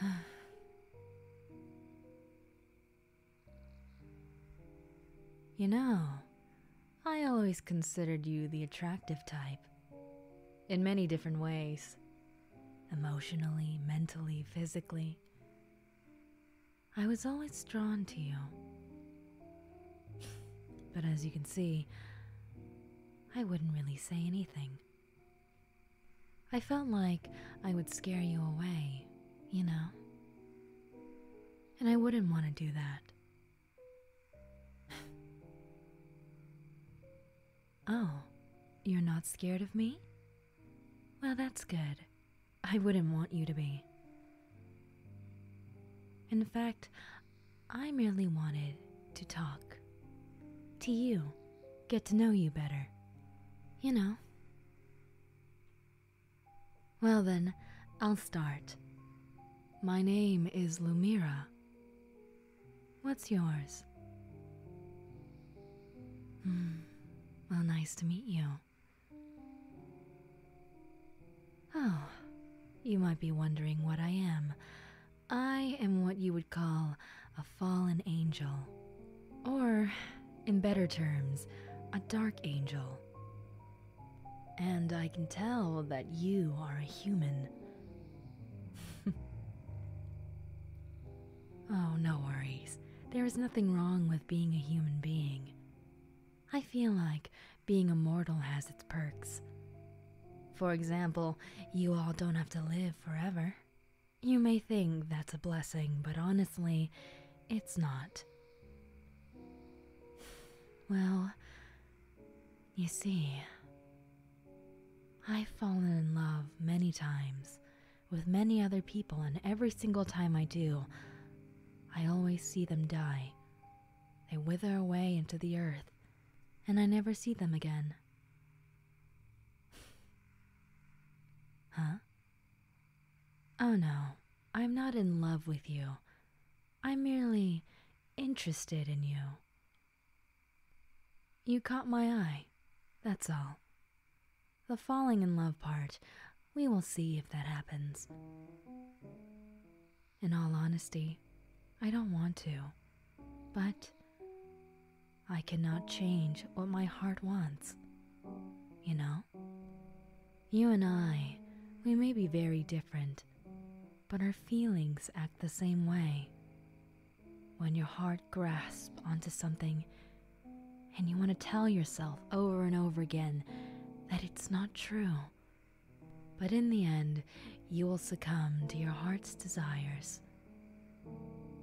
you know, I always considered you the attractive type. In many different ways, emotionally, mentally, physically. I was always drawn to you. But as you can see, I wouldn't really say anything. I felt like I would scare you away, you know? And I wouldn't want to do that. Oh, you're not scared of me? Well, that's good. I wouldn't want you to be. In fact, I merely wanted to talk to you, get to know you better. You know. Well, then, I'll start. My name is Lumira. What's yours? Hmm, well, nice to meet you. Oh, you might be wondering what I am. I am what you would call a fallen angel. Or, in better terms, a dark angel. And I can tell that you are a human. oh, no worries. There is nothing wrong with being a human being. I feel like being immortal has its perks. For example, you all don't have to live forever. You may think that's a blessing, but honestly, it's not. Well, you see, I've fallen in love many times with many other people, and every single time I do, I always see them die. They wither away into the earth, and I never see them again. huh? Oh no, I'm not in love with you. I'm merely interested in you. You caught my eye, that's all. The falling in love part, we will see if that happens. In all honesty, I don't want to, but I cannot change what my heart wants, you know? You and I, we may be very different but our feelings act the same way. When your heart grasps onto something and you want to tell yourself over and over again that it's not true, but in the end, you will succumb to your heart's desires.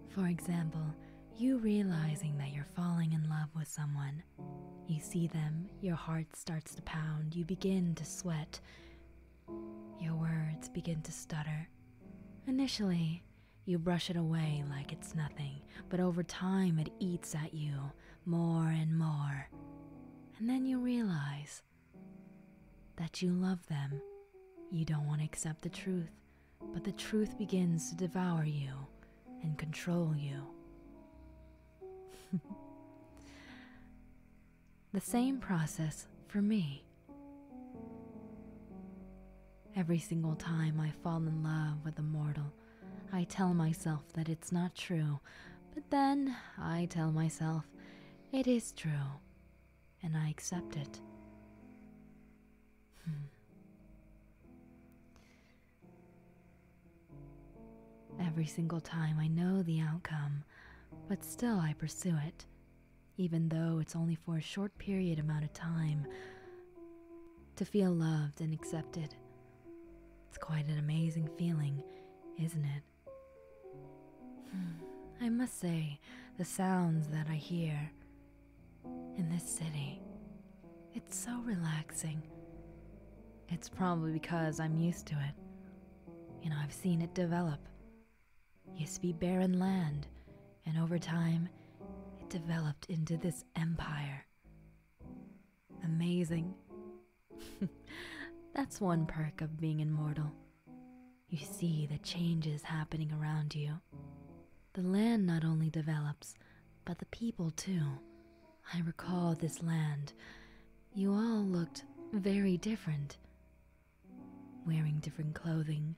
For example, you realizing that you're falling in love with someone. You see them, your heart starts to pound, you begin to sweat, your words begin to stutter. Initially, you brush it away like it's nothing, but over time it eats at you more and more. And then you realize that you love them. You don't want to accept the truth, but the truth begins to devour you and control you. The same process for me. Every single time I fall in love with a mortal, I tell myself that it's not true, but then I tell myself it is true, and I accept it. Hmm. Every single time I know the outcome, but still I pursue it, even though it's only for a short period amount of time. To feel loved and accepted. It's quite an amazing feeling, isn't it? Hmm, I must say, the sounds that I hear in this city, it's so relaxing. It's probably because I'm used to it. You know, I've seen it develop. It used to be barren land, and over time, it developed into this empire. Amazing. That's one perk of being immortal. You see the changes happening around you. The land not only develops, but the people too. I recall this land. You all looked very different, wearing different clothing,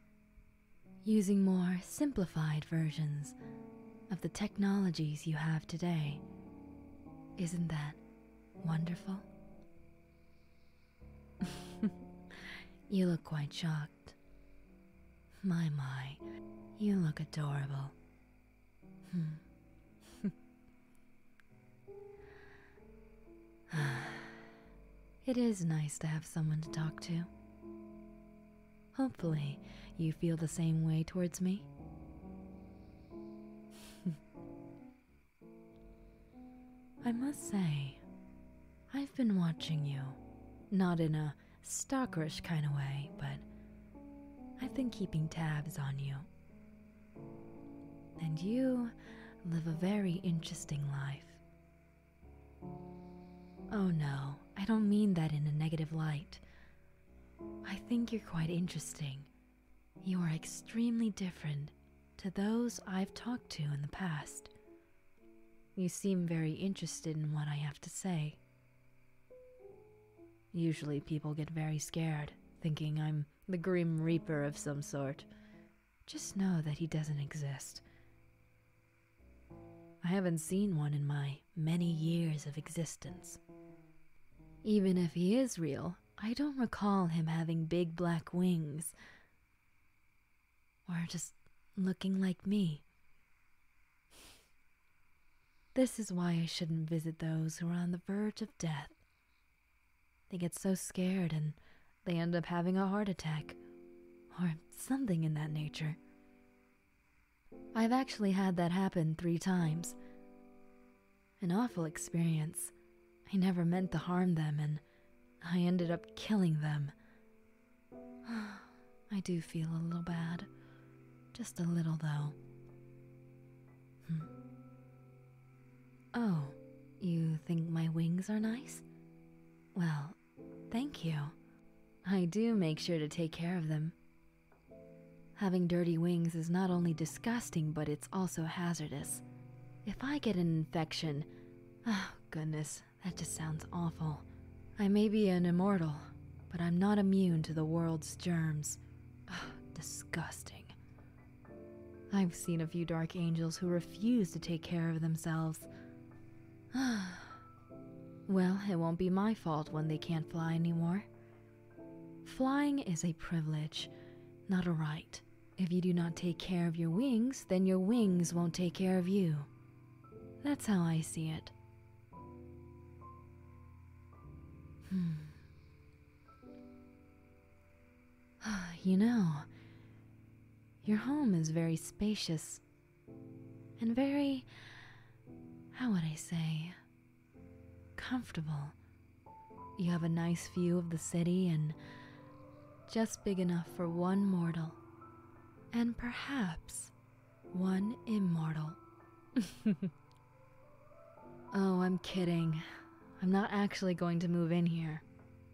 using more simplified versions of the technologies you have today. Isn't that wonderful? you look quite shocked. My, my, you look adorable. Hmm. it is nice to have someone to talk to. Hopefully, you feel the same way towards me. I must say, I've been watching you. Not in a stalkerish kind of way, but I've been keeping tabs on you. And you live a very interesting life. Oh no, I don't mean that in a negative light. I think you're quite interesting. You are extremely different to those I've talked to in the past. You seem very interested in what I have to say. Usually people get very scared, thinking I'm the Grim Reaper of some sort. Just know that he doesn't exist. I haven't seen one in my many years of existence. Even if he is real, I don't recall him having big black wings or just looking like me. This is why I shouldn't visit those who are on the verge of death. They get so scared and they end up having a heart attack or something in that nature. I've actually had that happen three times. An awful experience. I never meant to harm them and I ended up killing them. I do feel a little bad. Just a little, though. Hmm. Oh, you think my wings are nice? Well, thank you. I do make sure to take care of them. Having dirty wings is not only disgusting, but it's also hazardous. If I get an infection, oh goodness, that just sounds awful. I may be an immortal, but I'm not immune to the world's germs disgusting. I've seen a few dark angels who refuse to take care of themselves. well, it won't be my fault when they can't fly anymore. Flying is a privilege, not a right. If you do not take care of your wings, then your wings won't take care of you. That's how I see it. Hmm. You know, your home is very spacious and very, how would I say, comfortable. You have a nice view of the city and just big enough for one mortal. And perhaps one immortal. oh, I'm kidding. I'm not actually going to move in here.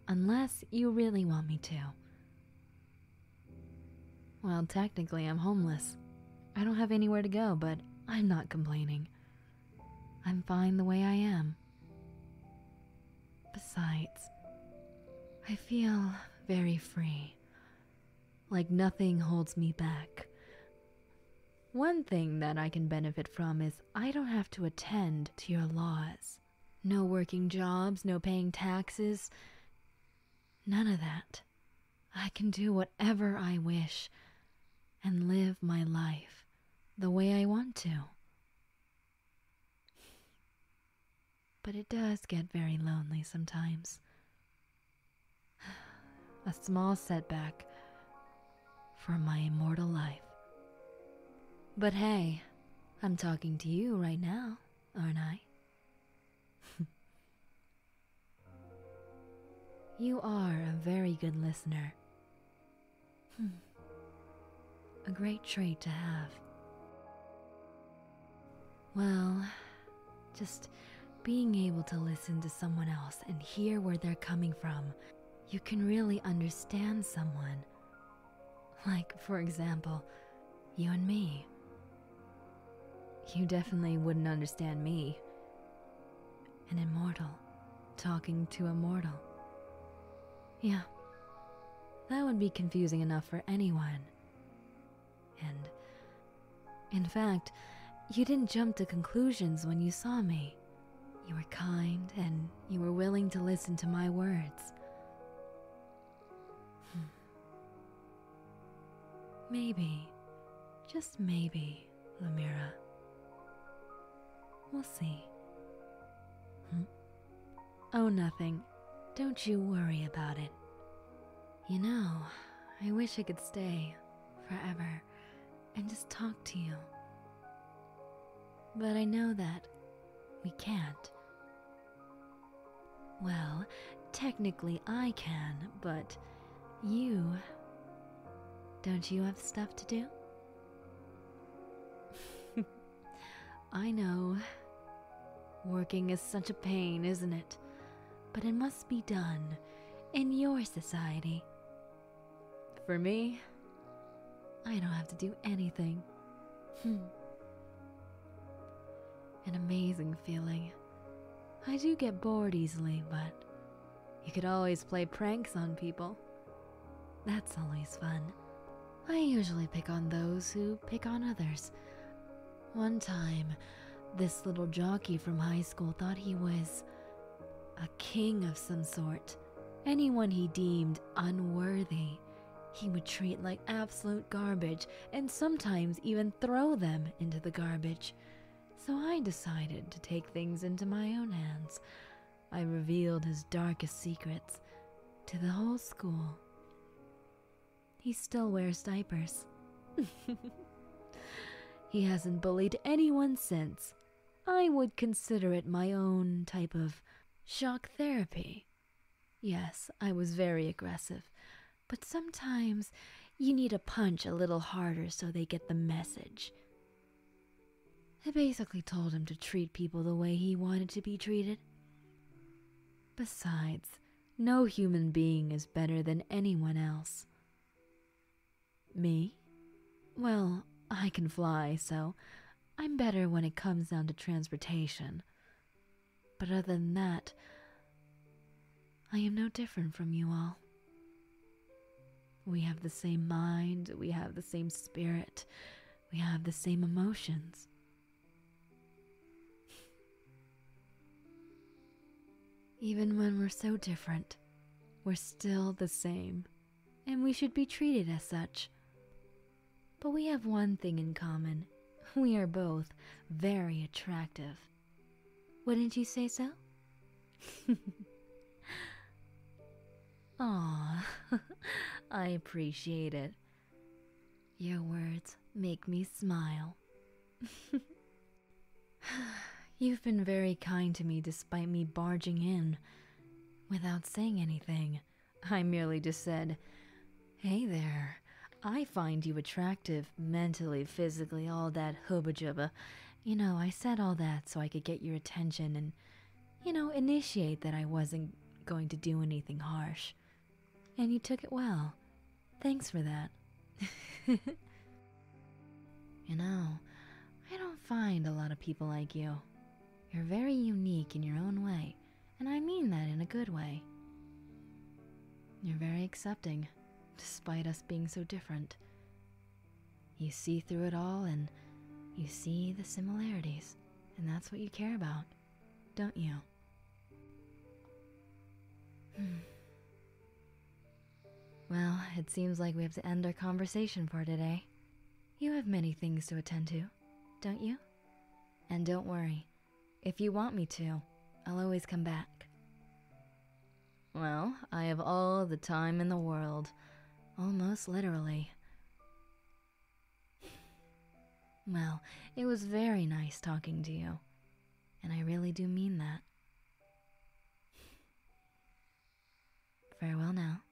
Unless you really want me to. Well, technically, I'm homeless. I don't have anywhere to go, but I'm not complaining. I'm fine the way I am. Besides, I feel very free like nothing holds me back. One thing that I can benefit from is I don't have to attend to your laws. No working jobs, no paying taxes, none of that. I can do whatever I wish and live my life the way I want to but it does get very lonely sometimes. A small setback for my immortal life. But hey, I'm talking to you right now, aren't I? you are a very good listener. Hmm. a great trait to have. Well, just being able to listen to someone else and hear where they're coming from, you can really understand someone. Like, for example, you and me. You definitely wouldn't understand me. An immortal talking to a mortal. Yeah, that would be confusing enough for anyone and in fact, you didn't jump to conclusions when you saw me. You were kind and you were willing to listen to my words. Hmm. maybe, just maybe, Lamira. We'll see. Hmm? Oh, nothing. Don't you worry about it. You know, I wish I could stay forever and just talk to you. But I know that we can't. Well, technically I can, but you. Don't you have stuff to do? I know. Working is such a pain, isn't it? But it must be done in your society. For me, I don't have to do anything. Hmm. An amazing feeling. I do get bored easily, but you could always play pranks on people. That's always fun. I usually pick on those who pick on others. One time, this little jockey from high school thought he was a king of some sort. Anyone he deemed unworthy, he would treat like absolute garbage and sometimes even throw them into the garbage. So I decided to take things into my own hands. I revealed his darkest secrets to the whole school. He still wears diapers. he hasn't bullied anyone since. I would consider it my own type of shock therapy. Yes, I was very aggressive, but sometimes you need a punch a little harder so they get the message. I basically told him to treat people the way he wanted to be treated. Besides, no human being is better than anyone else. Me? Well, I can fly, so I'm better when it comes down to transportation. But other than that, I am no different from you all. We have the same mind, we have the same spirit, we have the same emotions, even when we're so different, we're still the same, and we should be treated as such. But we have one thing in common we are both very attractive. Wouldn't you say so? Ah, I appreciate it. Your words make me smile. You've been very kind to me despite me barging in without saying anything. I merely just said, Hey there, I find you attractive, mentally, physically, all that hubba jubba. You know, I said all that so I could get your attention and, you know, initiate that I wasn't going to do anything harsh. And you took it well. Thanks for that. you know, I don't find a lot of people like you. You're very unique in your own way, and I mean that in a good way. You're very accepting, despite us being so different. You see through it all and you see the similarities, and that's what you care about don't you? Hmm. well, it seems like we have to end our conversation for today. You have many things to attend to, don't you? And don't worry, if you want me to, I'll always come back. Well, I have all the time in the world, almost literally. Well, it was very nice talking to you, and I really do mean that. Farewell now.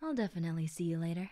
I'll definitely see you later.